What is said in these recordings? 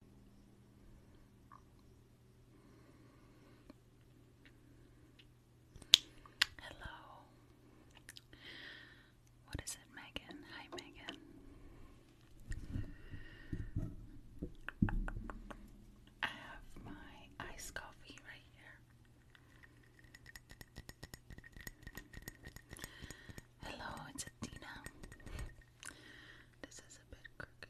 Hello. What is it, Megan? Hi, Megan. I have my iced coffee right here. Hello, it's Athena. This is a bit crooked.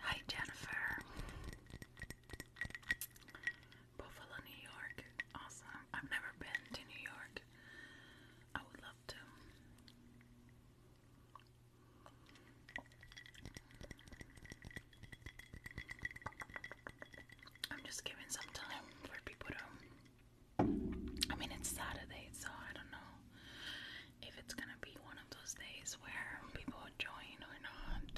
Hi, Jennifer. Buffalo, New York. Awesome. I've never been to New York. I would love to. I'm just giving some time for people to. I mean, it's Saturday, so I don't know if it's gonna be one of those days where people join or not.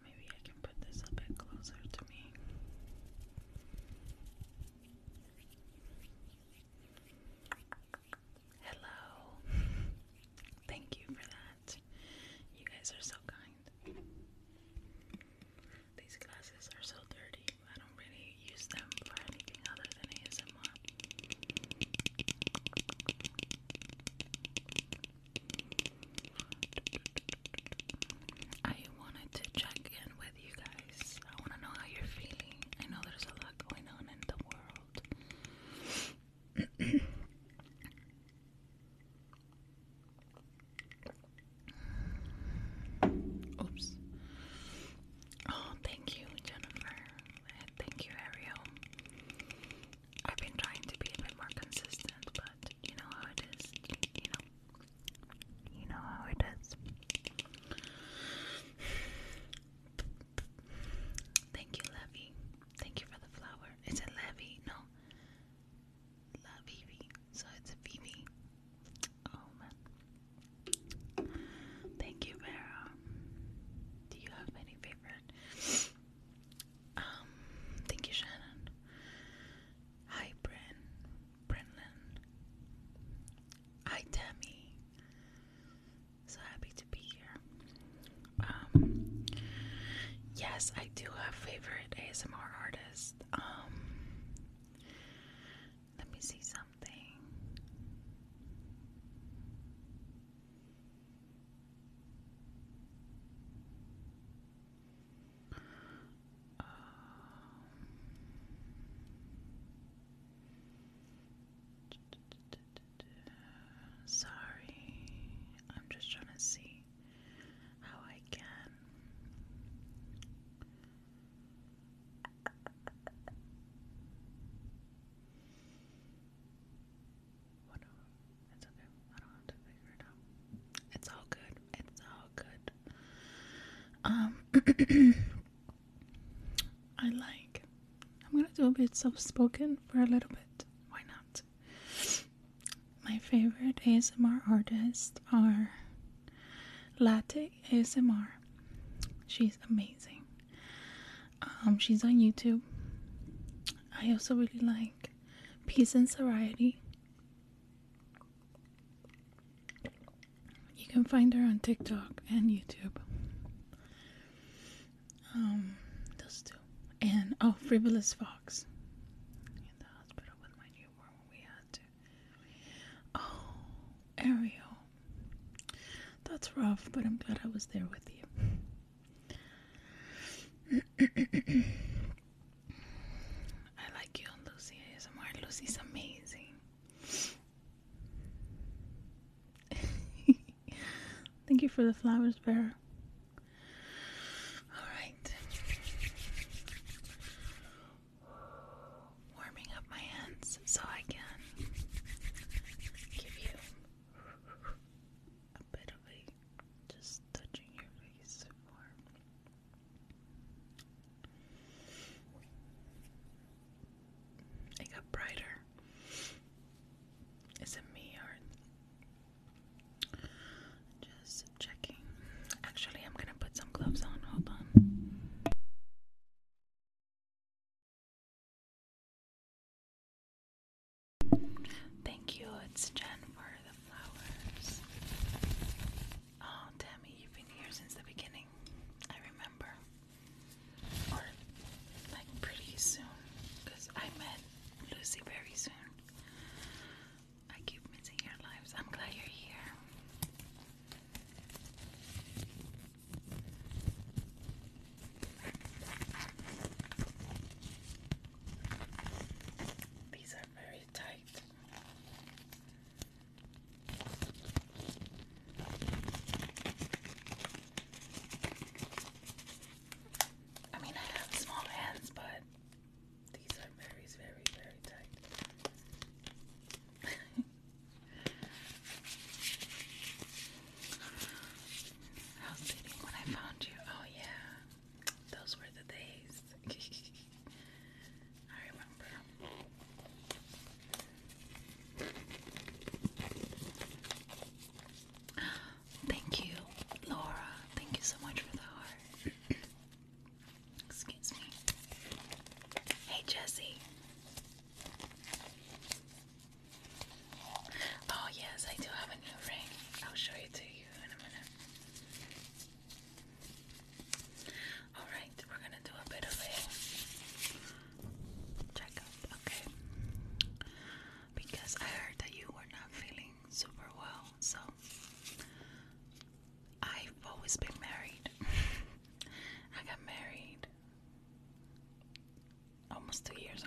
Maybe I can put this a bit closer to me. Hello. Thank you for that. You guys are so kind. These glasses are so dirty. I don't really use them for anything other than ASMR. I wanted to check in with you guys. I want to know how you're feeling. I know there's a lot going on in the world. Oops. Oh, thank you, Jennifer. Eh, thank you, Ariel. I've been trying to be a bit more consistent, but you know how it is. You know, you know how it is. Thank you, Levy. Thank you for the flower. It's a Levy? No. Lavivi. So it's Vivi. Oh man. Thank you, Vera. Do you have any favorite? Um, thank you, Shannon. Hi, Bryn. Brenlin. Hi, Tammy. So happy to be here. Um, yes, I do have favorite ASMR artist. Um, let me see something sorry, I'm just trying to see how I can. Whatever. It's okay. I don't have to figure it out. It's all good. It's all good. Um, I like. I'm gonna do a bit of spoken for a little bit. Why not? My favorite ASMR artist are Latte ASMR. She's amazing. Um, she's on YouTube. I also really like Peace and Variety. You can find her on TikTok and YouTube. Um, those two. And oh, Frivolous Fox. In the hospital with my newborn we had to. Oh, Ariel. That's rough, but I'm glad I was there with you. I like you and Lucy ASMR. Lucy's amazing. Thank you for the flowers, Vera. Alright. Warming up my hands so I can give you a bit of just touching your face warm. It got brighter. Is it me or just checking? Actually, I'm gonna put some gloves on. Hold on. Thank you, it's Jen for the flowers. Oh, Tammy, you've been here since the beginning. I remember. Or, like, pretty soon. Because I met Lucy very soon. I keep missing your lives. I'm glad you're here. These are very tight. I mean, I have small hands, but these are very, very, very tight. I was when I found you. Oh, yeah. Those were the days. I remember. Thank you, Laura. Thank you so much for the heart. Excuse me. Hey, Jesse. Oh, yes, I do have a new ring. I'll show it to you in a minute. All right, we're gonna do a bit of a checkup, okay? Because I heard that you were not feeling super well, so I've always been married. I got married almost two years ago.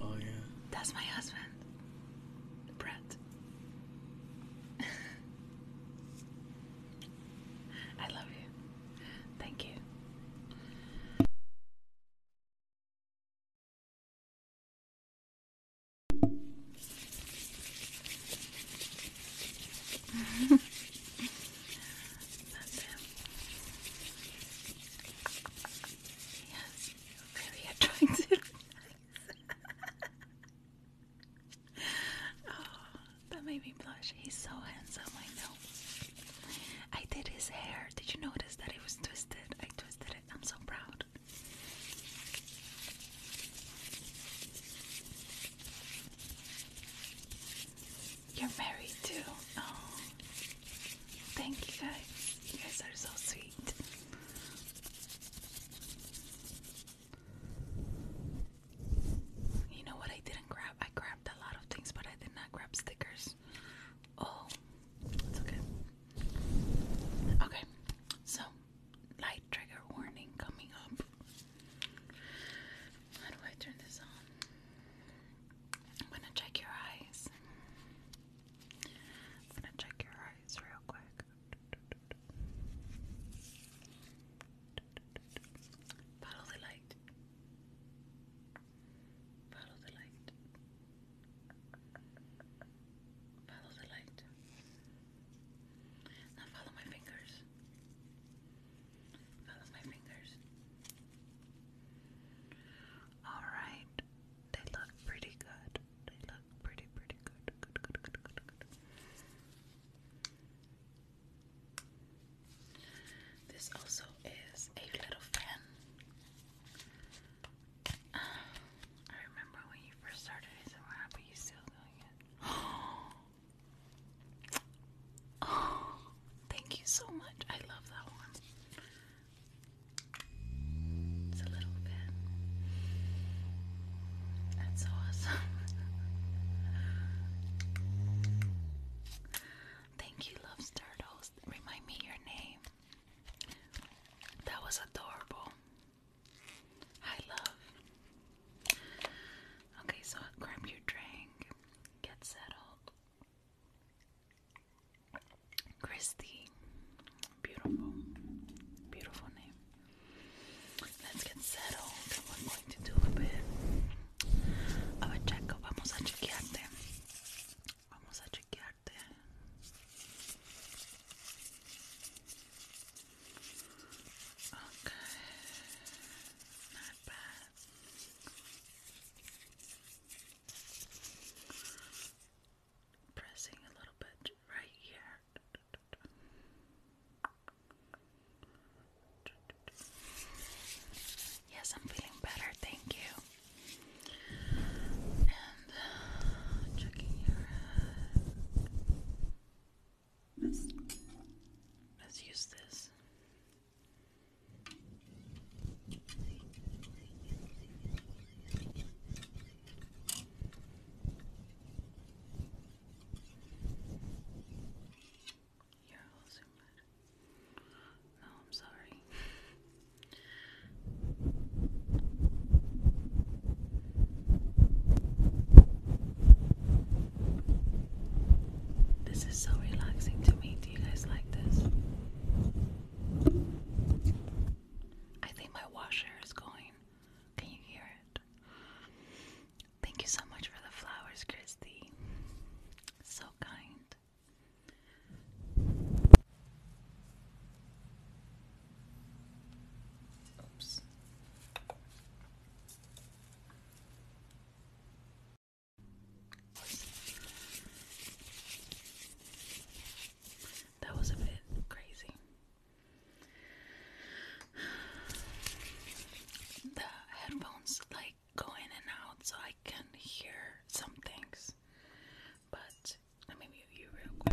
Oh yeah. That's my husband, Brett. I love you. Thank you. That's him. Yes, really attractive. oh, that made me blush. He's so handsome, I know. I did his hair. Did you notice that it was twisted? I twisted it. I'm so proud. You're married too. Oh, thank you guys. You guys are so sweet. You know what? I didn't grab. I grabbed a lot of things, but I did not grab stickers. Oh, it's okay. Okay, so light trigger warning coming up. How do I turn this on? I'm gonna check your eyes. I'm gonna check your eyes real quick. Follow the light. Follow the light. Follow the light. Now follow my fingers. None my fingers. Alright. They look pretty good. They look pretty, pretty good. Good, good, good, good, good. This also is a little fan. I remember when you first started it, so happy you still doing it. Oh, thank you so much. I love that one. It's a little bit. That's awesome. Thank you, Love Turtles. Remind me your name. That was adorable. I love. Okay, so grab your drink, get settled, Christy. Beautiful. Beautiful name. Let's get settled. We're going to do a bit of a checkup. Vamos a chequearte. Vamos a chequearte. Okay. Not bad. Pressing a little bit right here. Yes, I'm feeling better, thank you. And uh, checking your head. let's use this. You're I'm sorry. This is so relaxing to me you guys like this? I think my washer is going. Can you hear it? Thank you so much for the flowers, Christy. So kind. Oops. That was a bit crazy. The headphones like go in and out, so I can hear some things. But let me mute you real quick.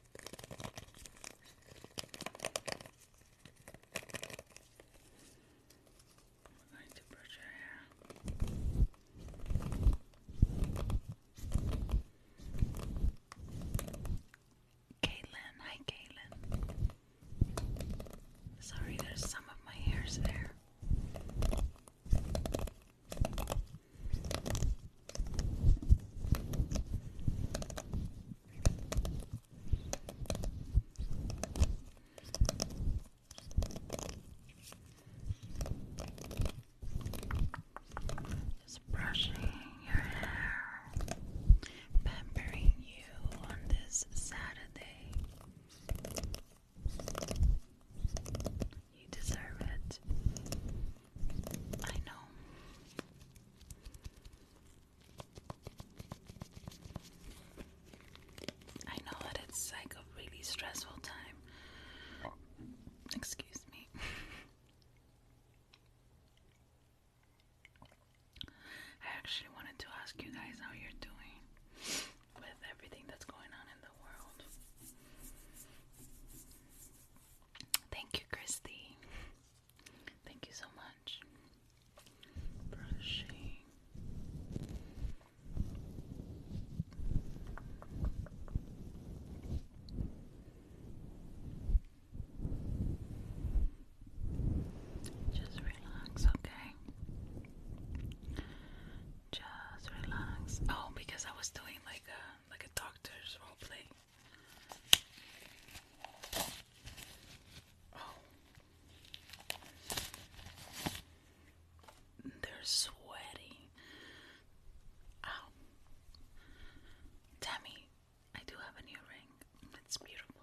We're going to brush our hair. Caitlin, hi Caitlin. Sorry, there's some of my hairs there. Just brushing your hair, pampering you on this Saturday. You deserve it. I know. I know that it's like a really stressful time. Excuse me. I actually wanted to ask you guys how you're doing with everything that's going on in the world. Thank you, Christy. Thank you so much. Brushing. Just relax, okay? Just relax. Oh, because I was doing like a like a doctor's role play. Oh. They're sweaty. Oh. Tammy, I do have a new ring. It's beautiful.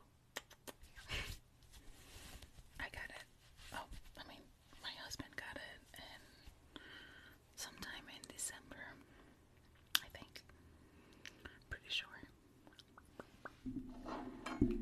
I got it. Oh, I mean, my husband got it, sometime in December. I think. Pretty sure. Okay.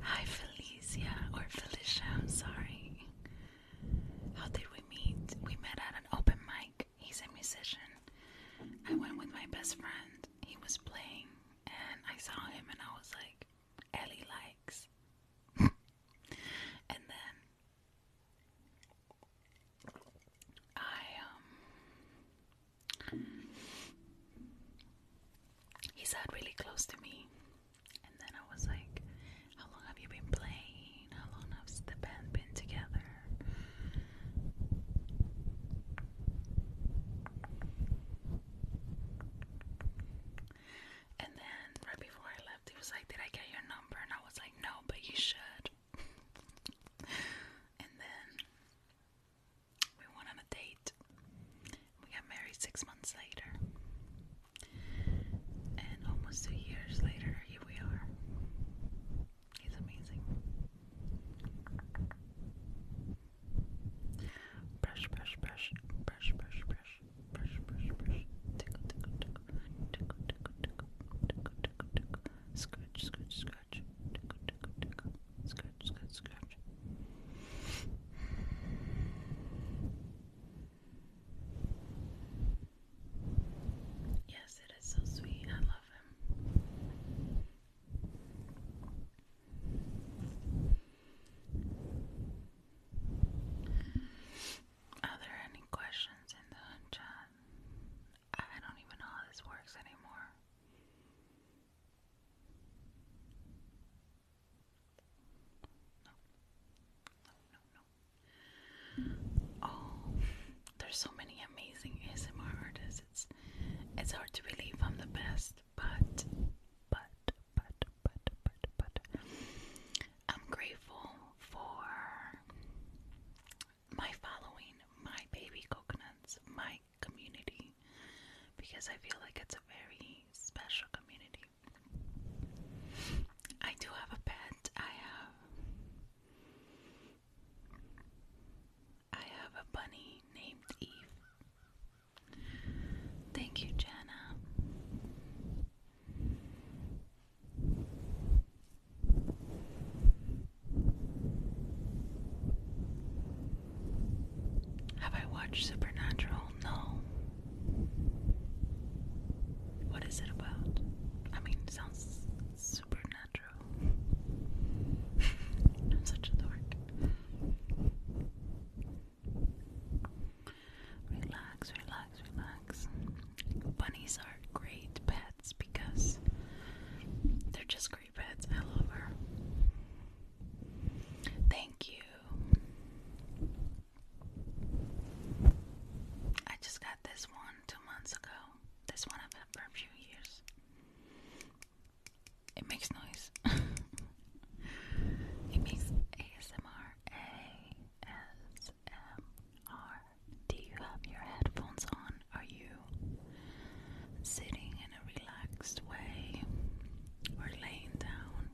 Hi, Felicia, or Felicia, I'm sorry. How did we meet? We met at an open mic. He's a musician. I went with my best friend. He was playing, and I saw him, and I was like, Ellie likes. and then I um he sat really close to me. And then I was like, How long have you been playing? How long has the band been together? And then right before I left, he was like, Did I get your number? And I was like, No, but you should. and then we went on a date. We got married six months later. And almost two years later, here we are. He's amazing. Brush, brush, brush, brush, brush, brush, brush, brush, brush. Tickle, tickle, tickle, tickle, tickle, tickle, tickle, tickle, tickle. Scratch, scratch, scratch. Tickle, tickle, tickle, scratch scratch, scratch. Yes, it is so sweet. I love him. Are there any questions in the chat? I don't even know how this works anymore. Oh, there's so many amazing ASMR artists. It's, it's hard to believe I'm the best, but, but, but, but, but, but, I'm grateful for my following, my baby coconuts, my community, because I feel like it's a very special community. I do have a pet. I have I have a bunny named Eve. Thank you, Jenna. Have I watched Supernatural? No. What is it about? I mean, sounds supernatural. I'm such a dork. Relax, relax, relax. Bunnies are great pets because they're just great pets. I love her. Thank you I just got this one two months ago. This one I've had for a few years. It makes noise. it makes ASMR. ASMR. Do you have your headphones on? Are you sitting in a relaxed way or laying down?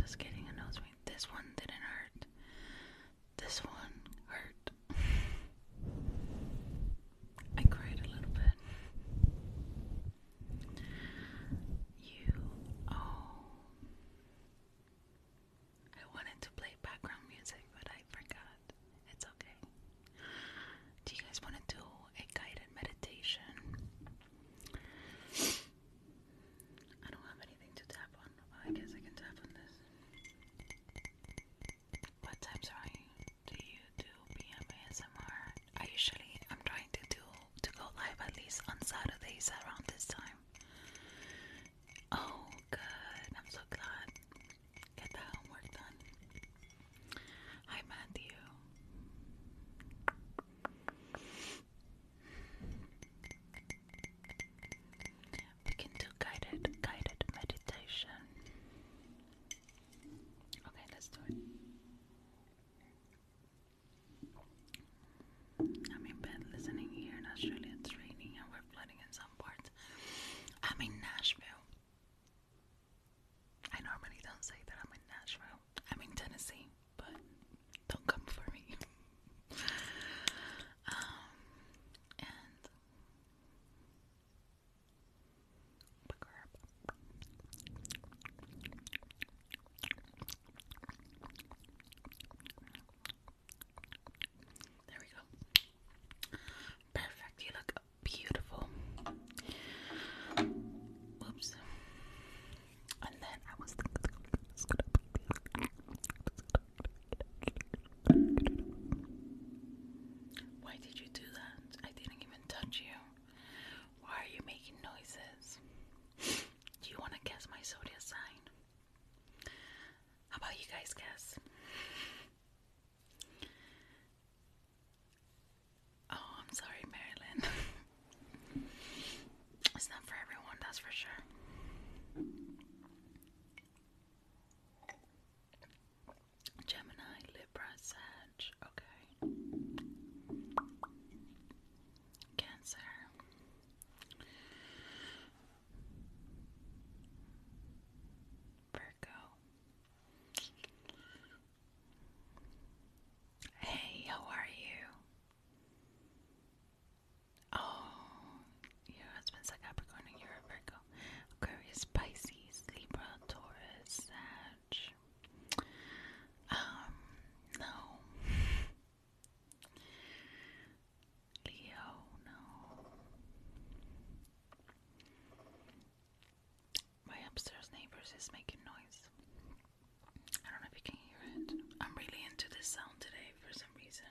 Just getting a nose ring. This one didn't hurt. This one hurt. I cried a little bit. You oh I wanted to play background music but I forgot. It's okay. Do you guys want to do a guided meditation? I don't have anything to tap on. I guess I can tap on this. What times are you? Do you do PM I usually I'm trying to do to go live at least on Saturdays around this time. Oh, good. I'm so glad. Get the homework done. Hi, Matthew. We can do guided guided meditation. Okay, let's do it. I'm in bed listening here in Australia. It's raining and we're flooding in some parts. I'm in Nashville. I normally don't say that I'm in Nashville. I'm in Tennessee, but don't come for me. Um, and There we go. Perfect. You look beautiful. Oops. And then I was thinking, why did you do that? I didn't even touch you. Why are you making noises? Do you want to guess my zodiac sign? How about you guys guess? Oh, I'm sorry, Marilyn. it's not for everyone, that's for sure. Gemini, Libra, Sag, okay. Cancer. Virgo. Hey, how are you? Oh, your husband's a Capricorn you're a Virgo. Aquarius, Pisces, Libra, Taurus, Sag. Um, no. Leo, no. My upstairs neighbors is making noise. I don't know if you can hear it. I'm really into this sound today for some reason.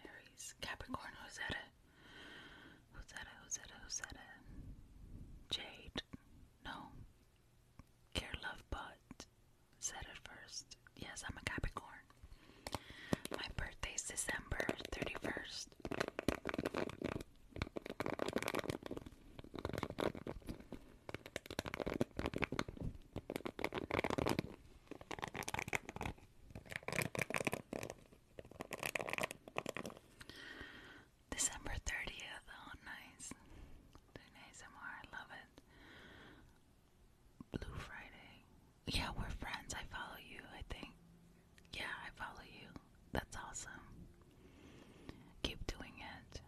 Aries, Capricorn, who's at it? Who's at it? Who's at it? Who's at it? Jade, no. Care, love, but said it first. Yes, I'm a Capricorn. My birthday's December 31st. December 30th, oh nice. Doing ASMR, I love it. Blue Friday. Yeah, we're friends. I follow you, I think. Yeah, I follow you. That's awesome. Keep doing it.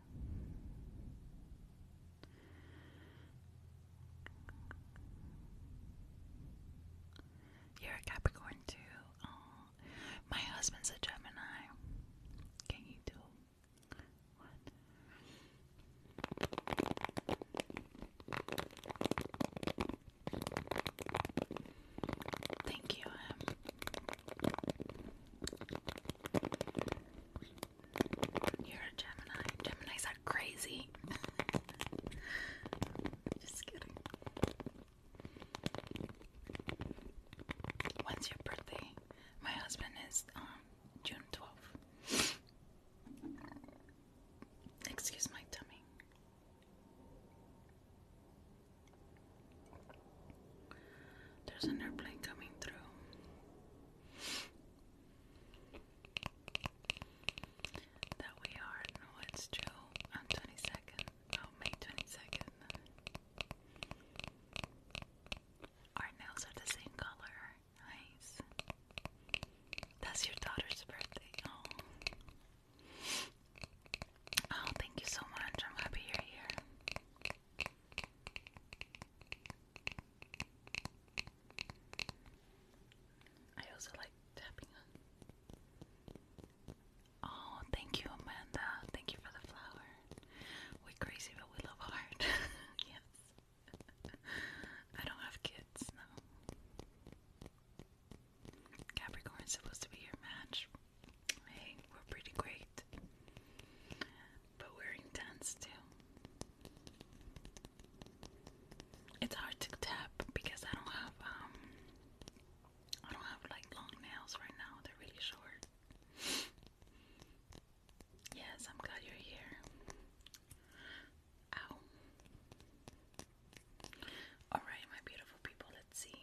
You're a Capricorn too. my husband's a Gemini. Can you do Thank you, You're a Gemini. Geminis are crazy. Just kidding. When's your birthday? My husband is um June 12th. Excuse my tummy. There's an airplane coming through. That we are. No, it's on 22nd. Oh, May 22nd. Our nails are the same color. Nice. That's your daughter's birthday. Oh. Oh, thank you so much. I'm happy you're here. I also like tapping Oh, thank you, Amanda. Thank you for the flower. We're crazy, but we love art. yes. I don't have kids, Capricorn is supposed to be your match. Hey, we're pretty great. But we're intense too. It's hard to tap because I don't have um I don't have like long nails right now. They're really short. yes, I'm glad you're here. Ow. Alright, my beautiful people, let's see.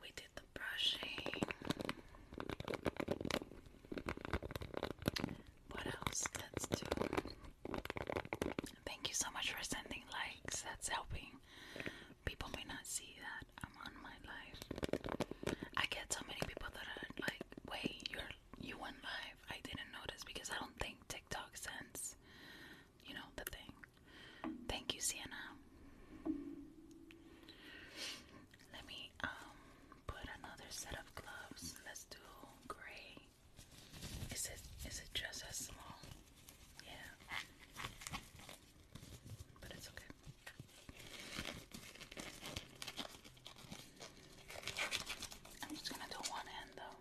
We did the brushing. What else? Let's do. Thank you so much for sending likes. That's helping. People may not see that I'm on my live. I get so many people that are like, "Wait, you're you went live." I didn't notice because I don't think TikTok sends, you know, the thing. Thank you, Sienna. Let me um, put another set of gloves. Let's do gray. Is it is it just as small? Yeah. But it's okay. I'm just gonna do one hand though.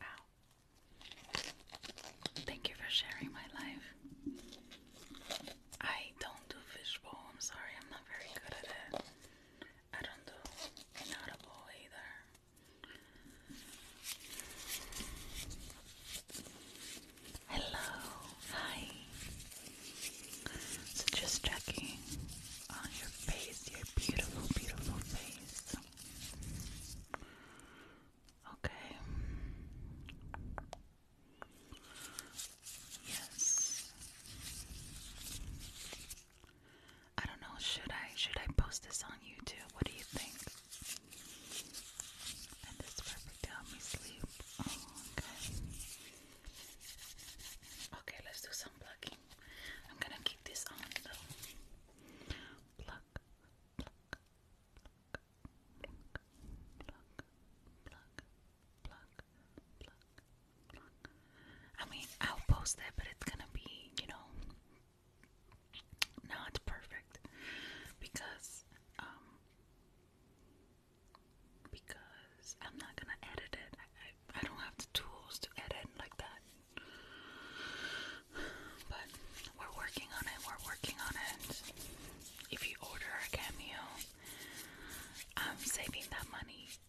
Ow. Thank you for sharing my life. I don't do fishbowl, I'm sorry, I'm not very good at it. I don't know. inaudible either. Hello, hi. So just checking on your face, your beautiful, beautiful face. Okay. Yes. I don't know, should I should I post this on YouTube? What do you think? Oh, okay. Okay, let's do some plucking. I'm gonna keep this on though. Pluck, pluck, pluck, pluck, pluck, pluck, I mean, I'll post that, but it's gonna be, you know, not perfect because, um, because I'm not gonna edit it. I, I don't have the tools to edit like that. But we're working on it. We're working on it. If you order a cameo, I'm saving that money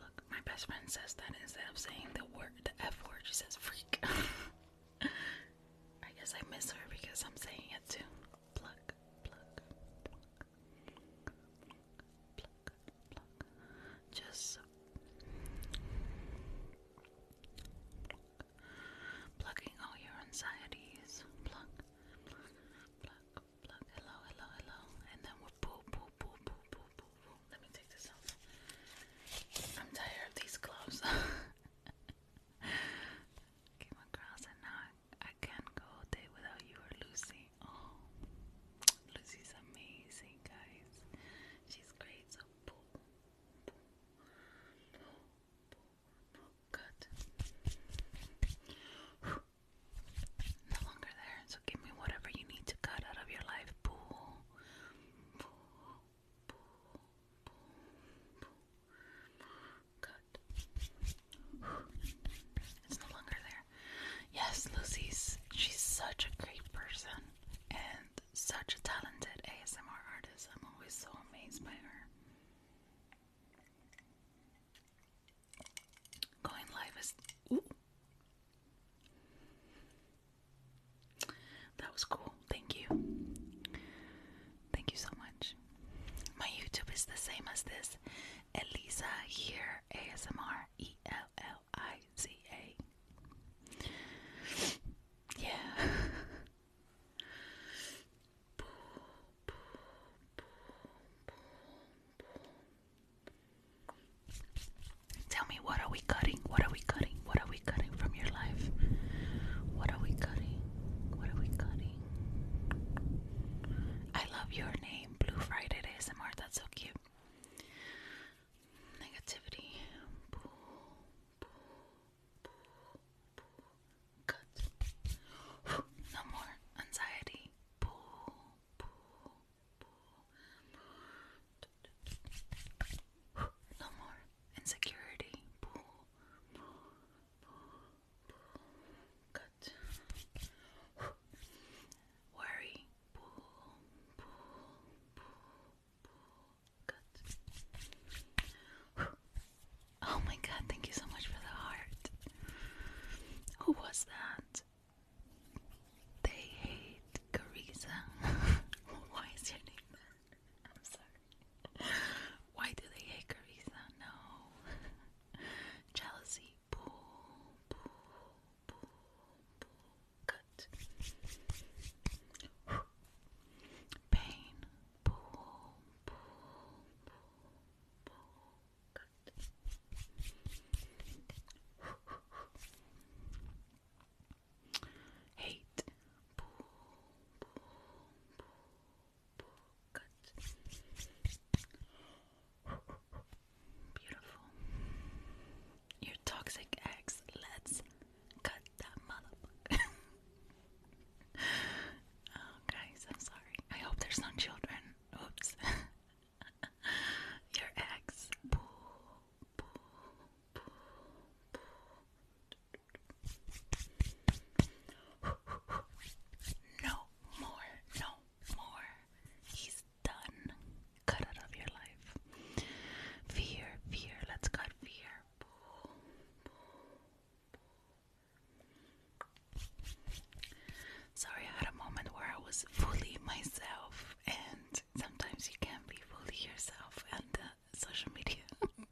Look, my best friend says that instead of saying the word, the F word, she says freak. I guess I miss her because I'm saying it too. Pluck, pluck, pluck, pluck, pluck. Just plucking all your anxieties. pluck, pluck, Look, hello, hello, hello. And then we'll pull, pull, pull, pull, pull, pull, pull. Let me take this off. I'm tired of these gloves. Came across and now I, can't go a day without you or Lucy. Oh, Lucy's amazing, guys. She's great. So pull, pull, pull, pull, pull no longer there. So give me whatever you need to cut out of your life. Pull, pull, pull, pull, Cut. It's no longer there. Yes, Lucy's. She's such a great person and such a talented ASMR artist. I'm always so amazed by her. Going live is. That was cool. Thank you. Thank you so much. My YouTube is the same as this. Elisa here ASMR E L L I Z A. Yeah. Tell me, what are we cutting? What are we cutting? What are we cutting from your life? What are we cutting? What are we cutting? I love your name, Blue Friday ASMR. That's so cute. Negativity. No more anxiety. No more insecurity. cut. Worry. cut. Oh my god, thank you so much for the heart. Who was that? They hate Carissa. Why is your name that? I'm sorry. Why do they hate Carissa? No. Jealousy. Boo, boo, boo, boo. Good. Pain. boo, boo, boo, Hate. Boo, Beautiful. Your toxic ex. Let's cut that motherfucker. guys, I'm sorry. I hope there's no children. Oops. Your ex. No more, no more. He's done. Cut out of your life. Fear, fear. Let's cut fear. Sorry, I had a moment where I was fully myself, and sometimes you can be fully yourself and uh, social media.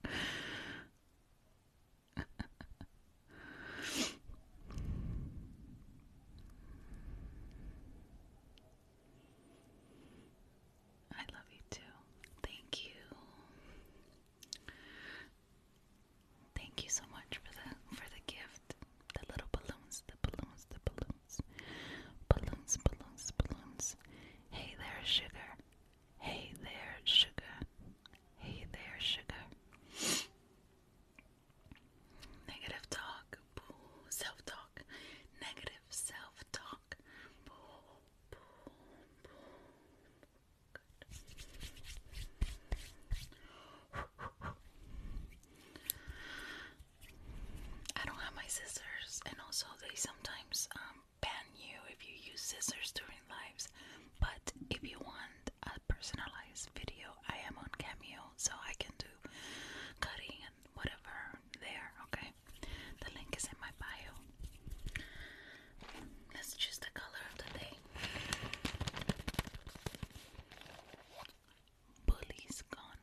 I love you too. Thank you. Thank you so much for the for the gift the little balloons, the balloons, the balloons, balloons, balloons, balloons. Hey there, sugar. Hey there, sugar. Hey there, sugar. Negative talk, boo, self talk. Negative self talk, boo, boo, boo. Good. I don't have my scissors, and also they sometimes um, ban you if you use scissors during lives. But if you want a personalized video, I am on Cameo, so I can do cutting and whatever there. Okay, the link is in my bio. Let's choose the color of the day. Bully's gone.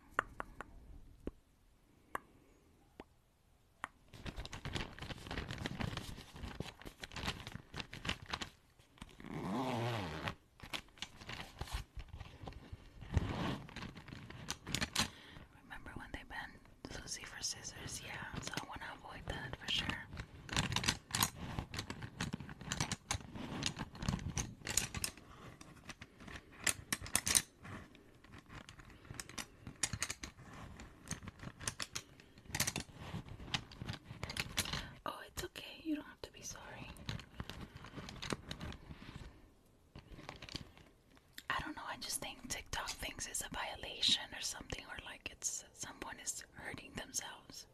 Remember when they banned Lucy for scissors? Yeah, so I want to avoid that for sure. Oh, it's okay. You don't have to be sorry. I don't know. I just think TikTok thinks it's a violation or something, or like it's someone is hurting themselves.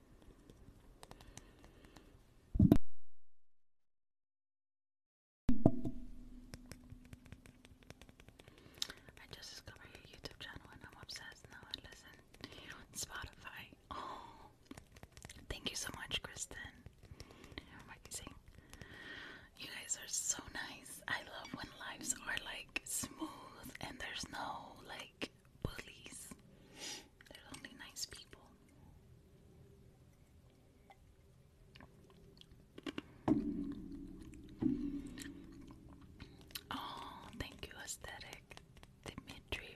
I just discovered your YouTube channel and I'm obsessed now. I listen on Spotify. Oh, thank you so much, Kristen. Amazing. You guys are so nice. I love when lives are like smooth and there's no like bullies. They're only nice people. Oh, thank you, aesthetic. Dimitri.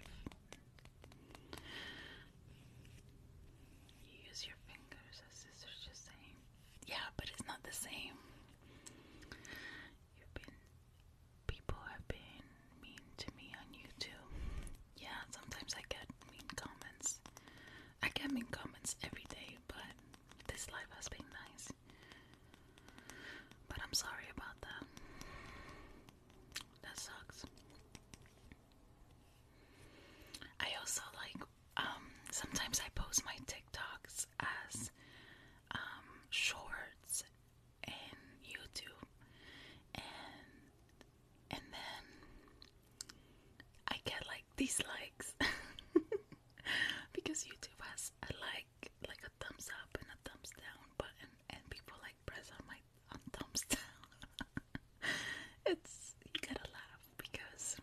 You use your fingers sisters just saying. Yeah, but it's not the same. You've been people have been mean to me on YouTube. Yeah, sometimes I get mean comments. I get mean comments every day, but this life has been nice. But I'm sorry about that. That sucks. I also like um, sometimes I post my TikToks as um, shorts and YouTube and and then I get like dislikes because YouTube has a like like a thumbs up and a thumbs down button and people like press on my on thumbs down. it's you gotta laugh because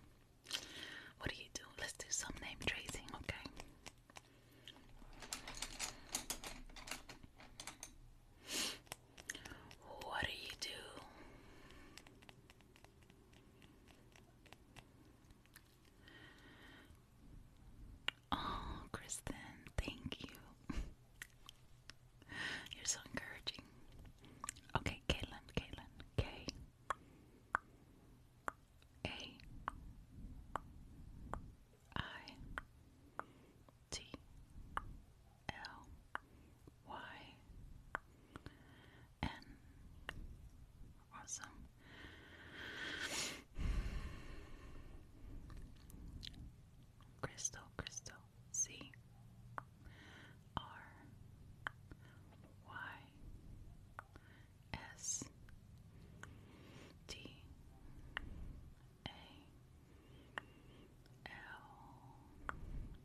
what do you do? Let's do some name tracing, okay? What do you do? Oh, Kristen, thank you. You're so encouraging. Okay, Caitlin, Caitlin, K. A I T L Y N. Awesome. Crystal, crystal, C R Y S T a L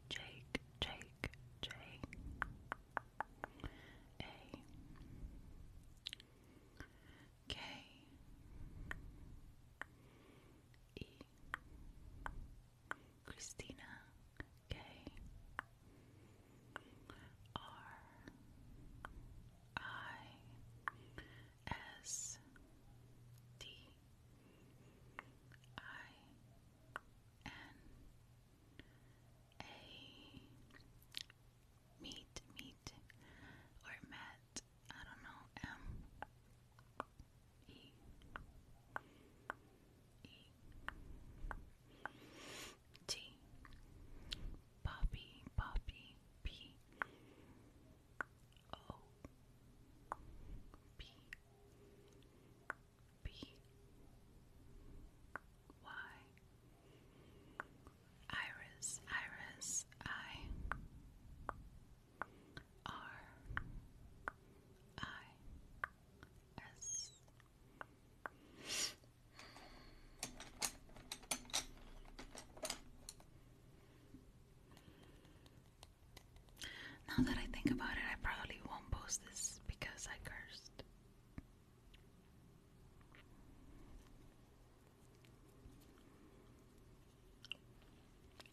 Jake Jake J A K E Christina K R I S D I N A meat meat or met I don't know M E E T Bobby Bobby P O P B Y Iris Iris I R I S now that I think about it, I probably won't post this because I cursed.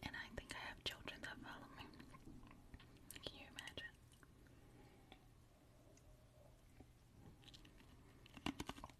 And I think I have children that follow me. Can you imagine?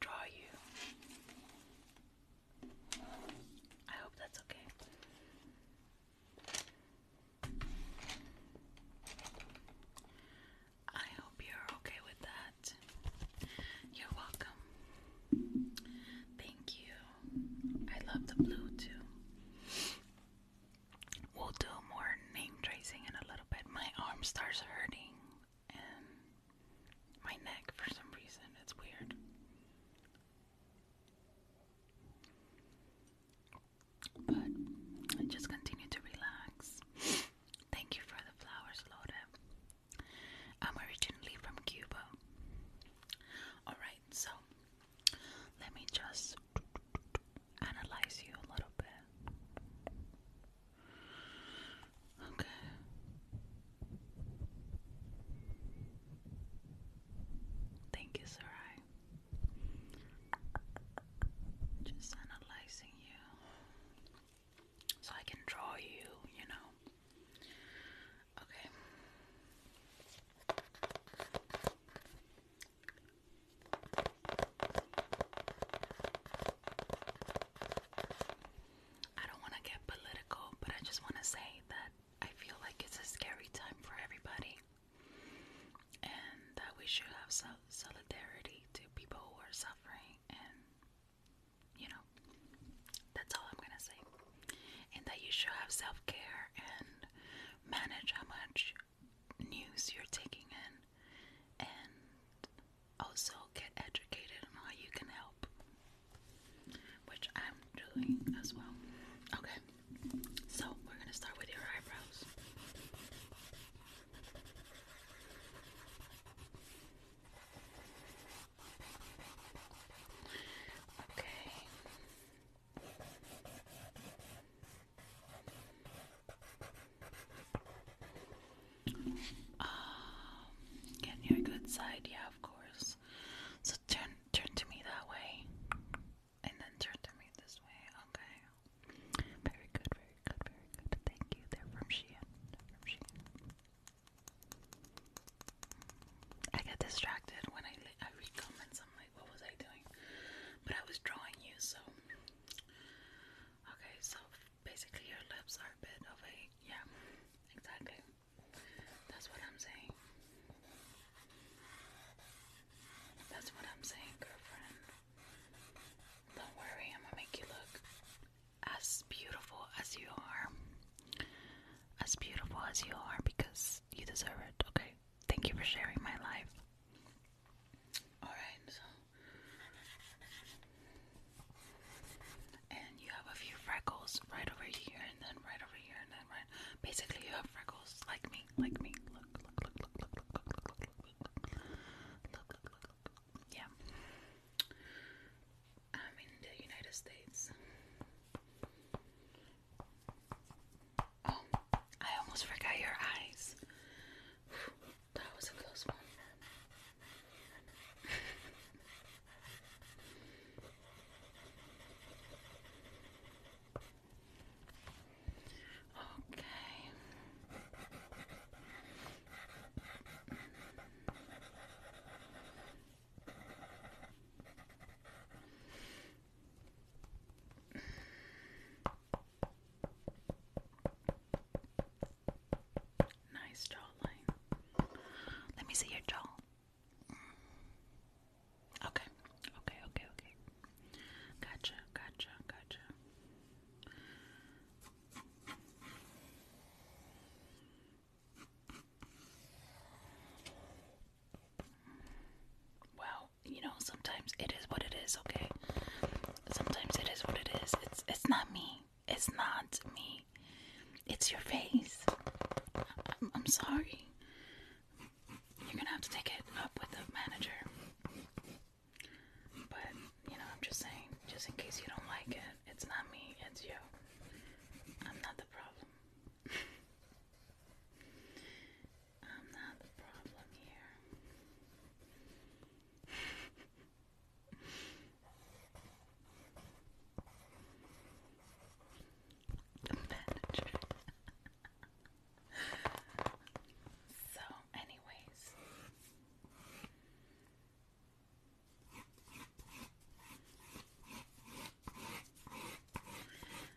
draw you. I hope that's okay. I hope you're okay with that. You're welcome. Thank you. I love the blue too. We'll do more name tracing in a little bit. My arm starts hurting and my neck for some reason. It's weird. But just continue to relax. Thank you for the flowers, Laura. I'm originally from Cuba. Alright, so let me just analyze you a little bit. Okay. Thank you, Sarai. Just analyzing you so I can draw you, you know. Okay. I don't want to get political, but I just want to say that I feel like it's a scary time for everybody and that we should have sol solidarity to people who are suffering and you know that's all I'm gonna say and that you should have self-care and manage how much news you're taking in also get educated on how you can help, which I'm doing as well. Okay, so we're gonna start with your eyebrows. Okay. Um, get your good side, yeah, of course. So turn, turn to me that way, and then turn to me this way. Okay. Very good, very good, very good. Thank you. They're from Shein. They're from Shein. I get distracted when I I read comments. I'm like, what was I doing? But I was drawing you, so. Okay, so basically your lips are a bit of a yeah, exactly. That's what I'm saying. That's what I'm saying, girlfriend. Don't worry, I'm gonna make you look as beautiful as you are. As beautiful as you are because you deserve it, okay? Thank you for sharing my life. Alright, and you have a few freckles right over here, and then right over here, and then right. Basically, you have freckles like me, like me. Look, look, look, look, look, look, look, look, look, look, look, look, look, look. Yeah. I'm in the United States. Oh, I almost forgot your eyes. That was a close one. okay. Nice jawline. Let me see your jaw. Okay, okay, okay, okay. Gotcha, gotcha, gotcha. Well, you know, sometimes it is what it is, okay? Sometimes it is what it is. It's it's not me. It's not me. It's your face. I'm, I'm sorry. You're gonna have to take it up with the manager. But, you know, I'm just saying, just in case you don't like it, it's not me, it's you. I'm not the problem. I'm not the problem here. The manager. so, anyways.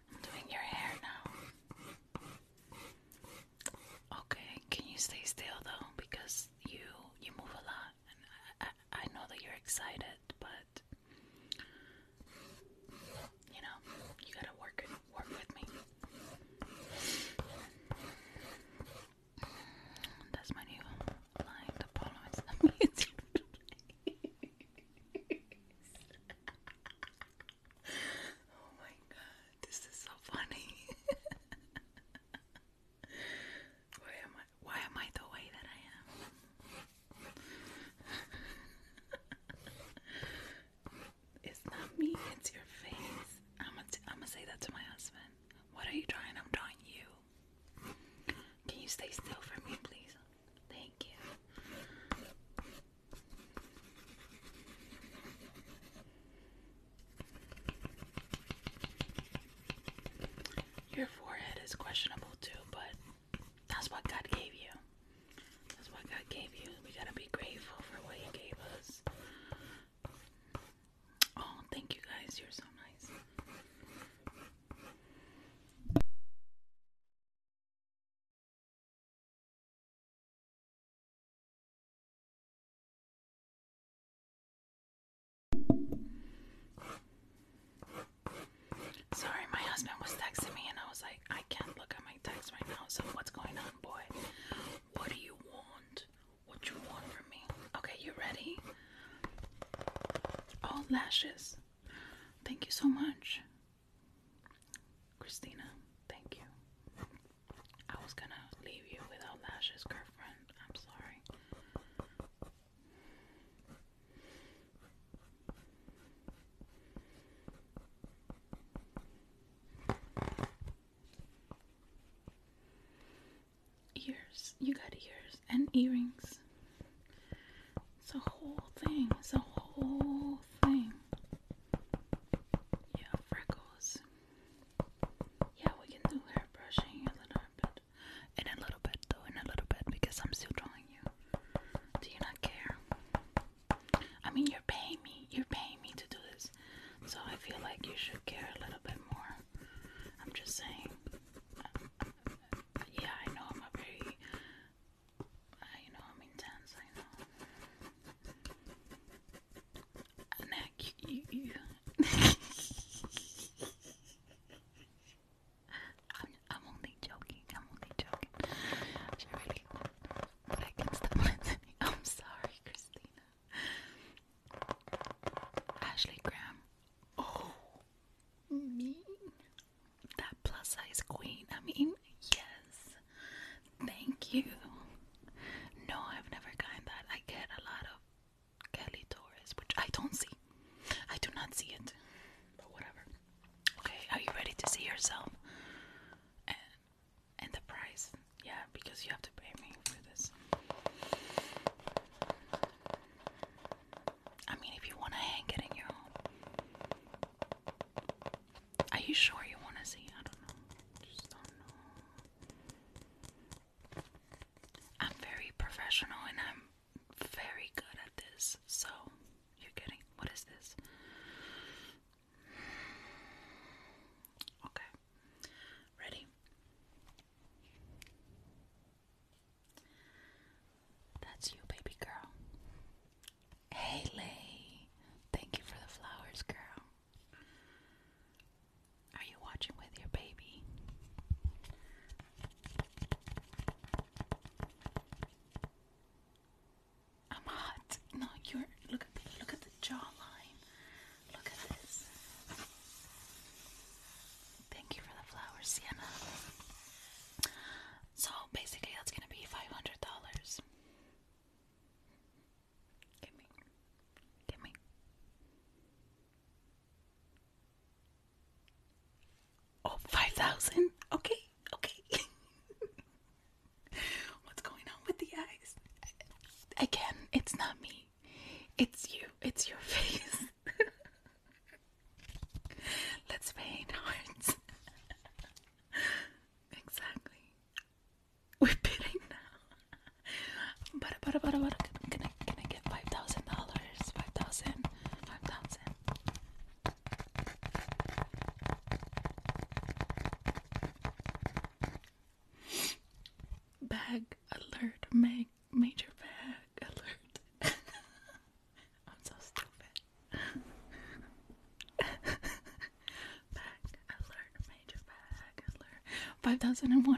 I'm doing your hair now. Okay, can you stay still though? Because you you move a lot. I, know that you're excited, but you know, you gotta work work with me. That's my new line. The problem is amazing. oh my god, this is so funny. Where am why, am I the way that I am? it's not me, it's your face. I'm gonna t- I'm gonna say that to my husband. What are you drawing? I'm drawing you. Can you stay still for me, please? Thank you. Your forehead is questionable too, but that's what God gave you. That's what God gave you. We gotta be grateful for what He gave us. Oh, thank you guys. You're so nice. Sorry, my husband was texting me, and I was like, I can't look at my text right now. So, what's going on, boy? What do you want? What you want from me? Okay, you ready? All lashes. Thank you so much, Christina. Thank you. I was gonna leave you without lashes, girlfriend. I'm sorry. Ears, you got ears and earrings. It's a whole thing, it's a whole thing. Yeah, freckles. Yeah, we can do hair brushing a little bit in a little bit, though, in a little bit, because I'm still drawing you. Do you not care? I mean, you're paying me. You're paying me to do this. So I feel like you should care a little bit more. I'm just saying. Yeah, I know I'm very. I know I'm intense. I know. Nick, you. I'm, only joking. I'm only joking. I but I can stop listening. I'm sorry, Christina. Ashley Graham. Oh, me. That plus size queen. I mean, yes. Thank you. No, I've never gotten that. I get a lot of Kelly Torres, which I don't see. I do not see it. But whatever. Okay, are you ready to see yourself? And the price. Yeah, because you have to pay me for this. I mean if you wanna hang it in your home. Are you sure you wanna see? I don't know. Just don't know. I'm very professional and I'm very good at this. So, you're getting what is this? Okay. Ready? That's you, baby girl. Hey, Lay. Thank you for the flowers, girl. Are you watching with your baby? I'm hot. No, you're look at the look at the jawline. Look at this. Thank you for the flowers, Sienna. So basically that's gonna be five hundred dollars. Give me. Give me. 5,000? Okay, okay. What's going on with the eyes? Again, it's not me. It's you. It's your face. Let's paint hearts. exactly. We're bidding now. But, but, but, but, can I get $5,000? dollars, five thousand, five thousand. Bag alert, make major bag alert. I'm so stupid. bag alert, major bag alert. 5001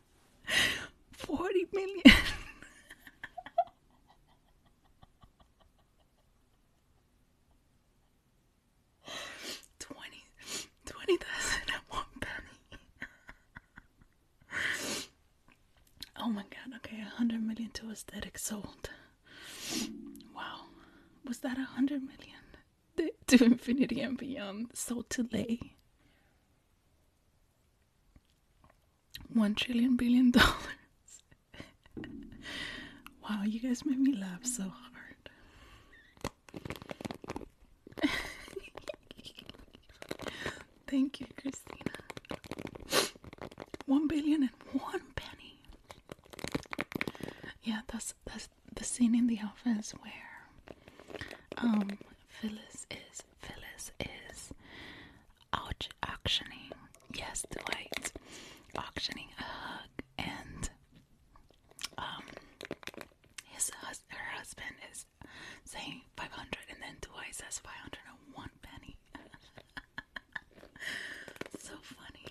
40 million. at one penny. oh my god! Okay, a hundred million to aesthetic sold. Wow, was that a hundred million to infinity and beyond sold today? One trillion billion dollars. wow, you guys made me laugh so hard. Thank you, Christina. One billion and one penny. Yeah, that's that's the scene in the office where um, Phyllis is Phyllis is out auctioning. Yes, Dwight, auctioning a hug, and um, his hus her husband is saying five hundred, and then Dwight says five hundred and one penny. so funny.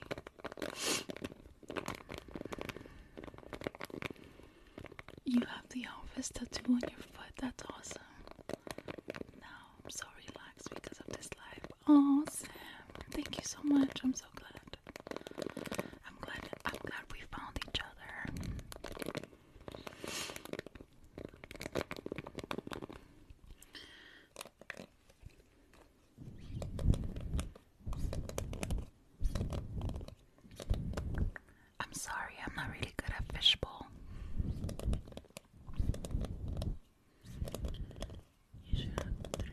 You have the office tattoo on your foot. That's awesome. Now I'm so relaxed because of this live. Oh, thank you so much. I'm so glad. I'm glad. I'm glad we found each other. I'm sorry, I'm not really good at fishbowl. You have three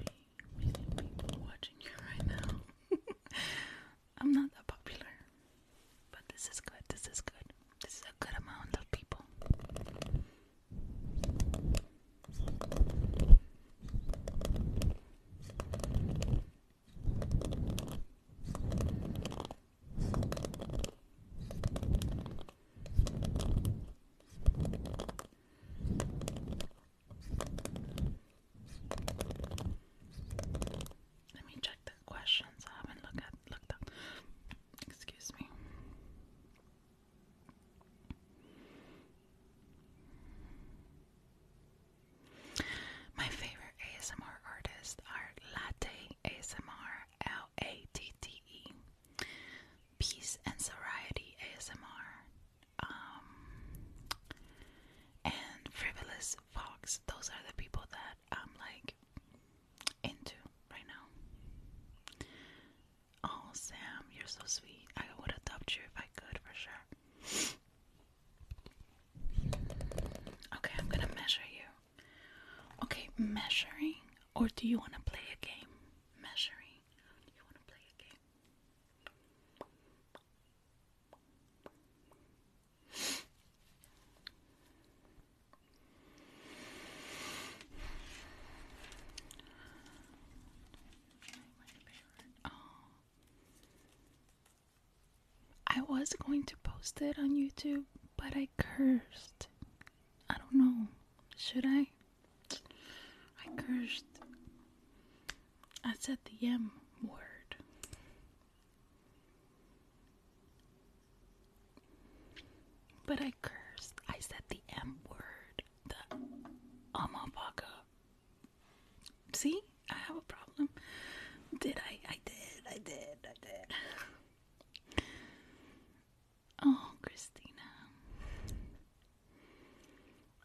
million people watching you right now. I'm not that popular. But this is good, this is good. This is a good amount of people. Let me check the questions. I haven't looked at looked up. Excuse me. My favorite ASMR artists are Latte ASMR, L A T T E, Peace and Variety ASMR, um, and Frivolous Fox. Those are the people that I'm like into right now. Oh, Sam, you're so sweet. I would adopt you if I could, for sure. Okay, I'm gonna measure you. Okay, measuring, or do you want to play a game? Measuring. Do you want to play a game? I was going to post it on YouTube, but I cursed. I don't know. Should I? I cursed. I said the M word. But I cursed. I said the M word. The Amapaka. See? I have a problem. Did I? I did. I did. I did. Oh, Christina.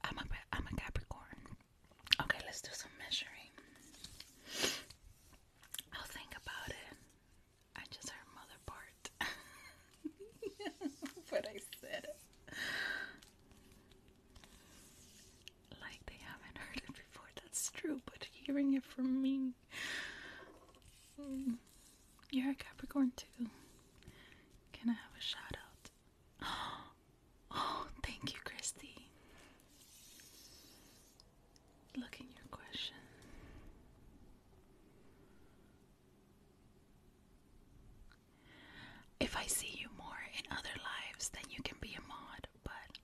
I'm a I'm a Capricorn. Okay, let's do some measuring. I'll think about it. I just heard mother part. but I said like they haven't heard it before. That's true, but hearing it from me. Mm. you're a Capricorn too. Can I have a shout out? Oh, thank you, Christy. Look your question. If I see you more in other lives, then you can be a mod, but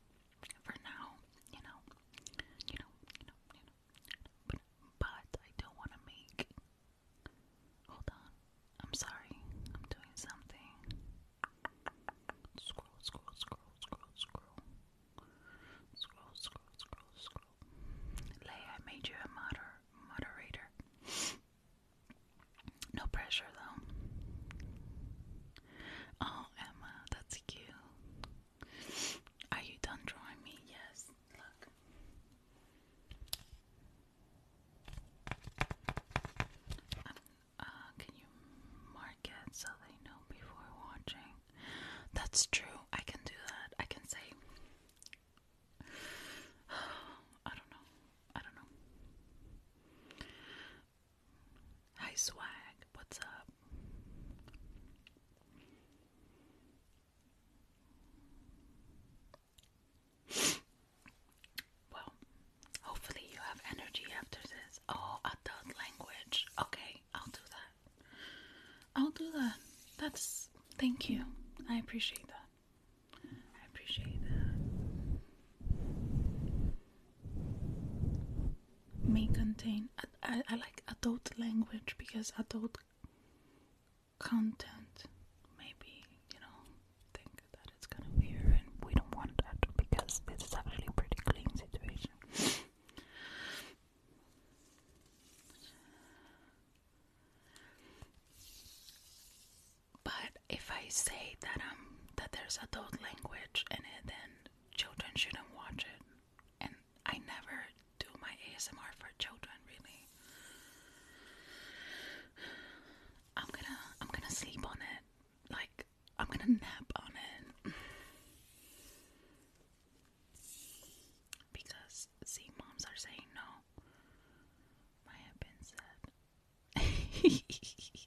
for now, you know, you know, you know, you know. But, I don't want to make. Hold on. I'm sorry. I'm doing something. Scroll, scroll, scroll, scroll, scroll. Scroll, scroll, scroll, scroll. Lay, I made you a moder moderator. No pressure, though. Oh, Emma, that's cute. Are you done drawing me? Yes. Look. Um, uh, can you mark it so they know before watching? That's true. I can do that. I can say. I don't know. I don't know. Hi, swag. What's up? Well, hopefully, you have energy after this. Oh, adult language. Okay, I'll do that. I'll do that. That's thank you. I appreciate that. I appreciate that may contain I, like adult language because adult content maybe you know think that it's kind of weird and we don't want that because this is actually a pretty clean situation but if I say that um that there's adult language in it then children shouldn't watch it. And I never do my ASMR for children, really. I'm gonna I'm gonna sleep on it. Like I'm gonna nap on it. because see moms are saying no. My husband said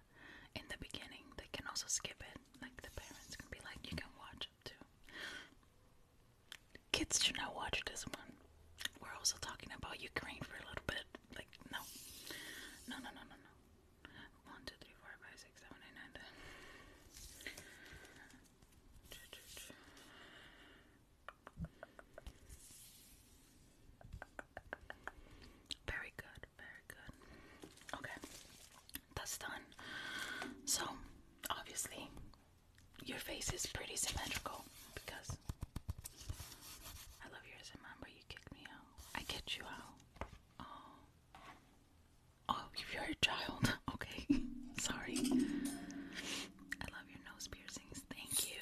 in the beginning, they can also skip it. Like the parents can be like, you can watch it too. Kids should not watch this one. We're also talking about Ukraine for a little bit. Like, no. No, no, no, no, no. 1, Very good very good. Okay, that's done. So, obviously, your face is pretty symmetrical because I love yours. I remember you kicked me out. I kicked you out. Oh. Oh, you're a child. Okay. Sorry. I love your nose piercings. Thank you.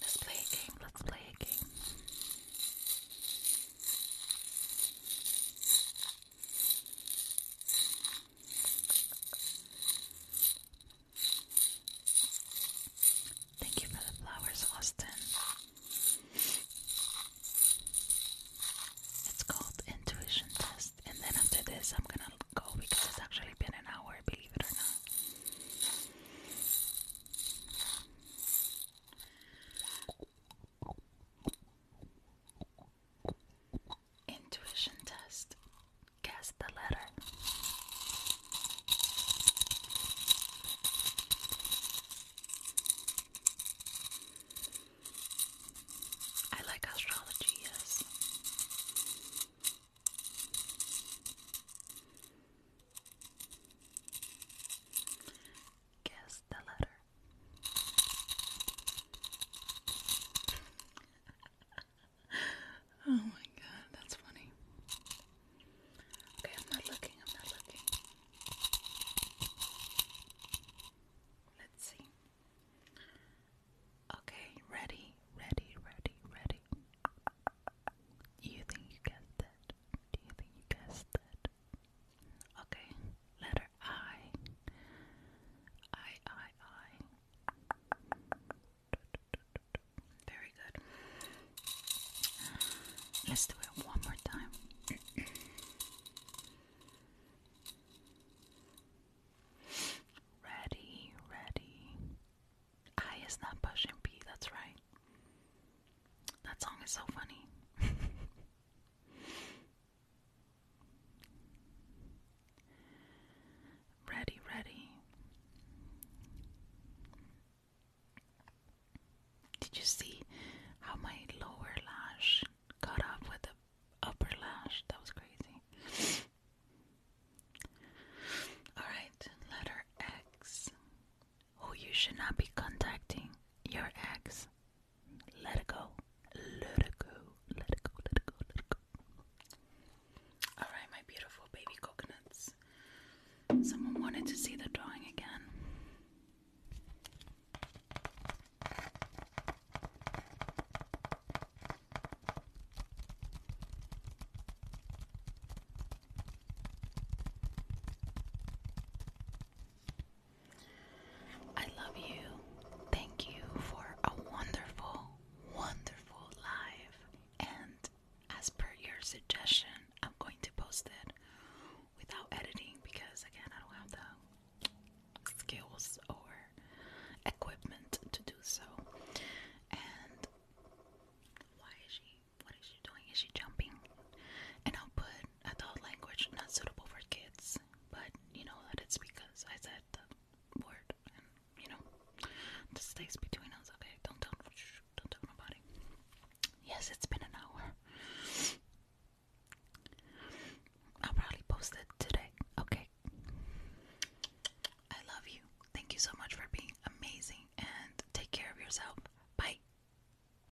Let's play a game. Let's play a game. Thank you for the flowers, Austin. It's called intuition test, and then after this, I'm gonna go because it's actually been an hour, believe it or not. Intuition test. Guess the letter. I like astrology, yes. Guess the letter. oh my god, that's funny. Okay, I'm not looking, I'm not looking. Let's see. Okay, ready, ready, ready, ready. you think you guessed that? Do you think you guessed that? Okay, letter I. I, I, I. Very good. Let's do it one more time. ready, ready. I is not pushing P, that's right. That song is so funny. Ready, ready. Did you see how my lower lash cut off with the upper lash? That was crazy. Alright, letter X who you should not be contacting, your ex. Let it go. Let it go. Let it go. Let it go. Let it go. Alright, my beautiful baby coconuts. Someone wanted to see the drawing again. I love you. Thank you for a wonderful, wonderful life. And as per your suggestion, I'm going to post it without editing because, again, I don't have the skills or equipment to do so. And why is she? What is she doing? Is she jumping? And I'll put adult language not suitable for kids, but you know that it's because I said the word, you know, this stays between us, okay? Don't tell, don't tell nobody. Yes, it's been an hour. I'll probably post it today, okay? I love you. Thank you so much for being amazing, and take care of yourself. Bye.